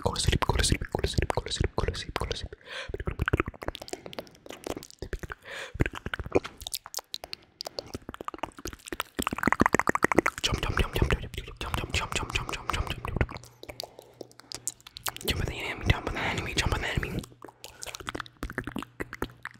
Go to sleep, go to sleep, go to sleep, go to sleep, go to sleep, go to sleep. Jump, jump, jump, jump, jump, jump, jump, jump, jump, jump, jump, jump, jump. Jump on the enemy, jump on the enemy, jump on the enemy.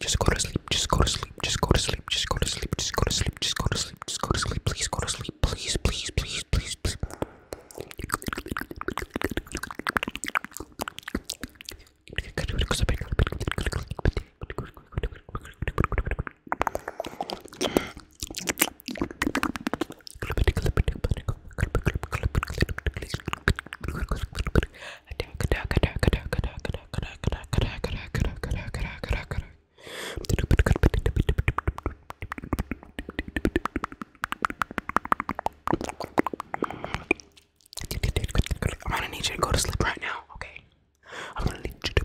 Just go to sleep, just go to sleep, just go to sleep, just go to sleep, just go to sleep, just go to sleep, just go to sleep, please go to sleep, please, please, please, please, please. I'm gonna need you to go to sleep right now, okay? I'm gonna need you to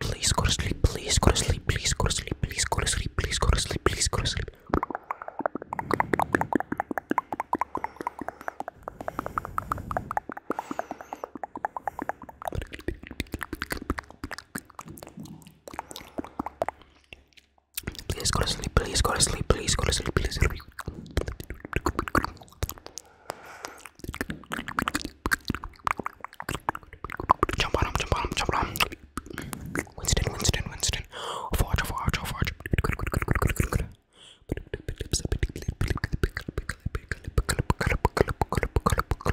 Please go to sleep, please go to sleep, please go to sleep, please go to sleep, please go to sleep, please go to sleep. Please go to sleep, please go to sleep, please go to sleep, please. Jump on him, jump on him, jump on him. Winston, Winston, Winston. Forge, forge, forge.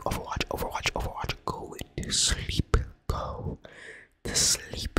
Overwatch, Overwatch, Overwatch, go to sleep, go to sleep.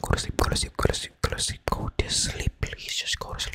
Go to sleep, go to sleep, go to sleep, go to sleep, go to sleep, please just go to sleep.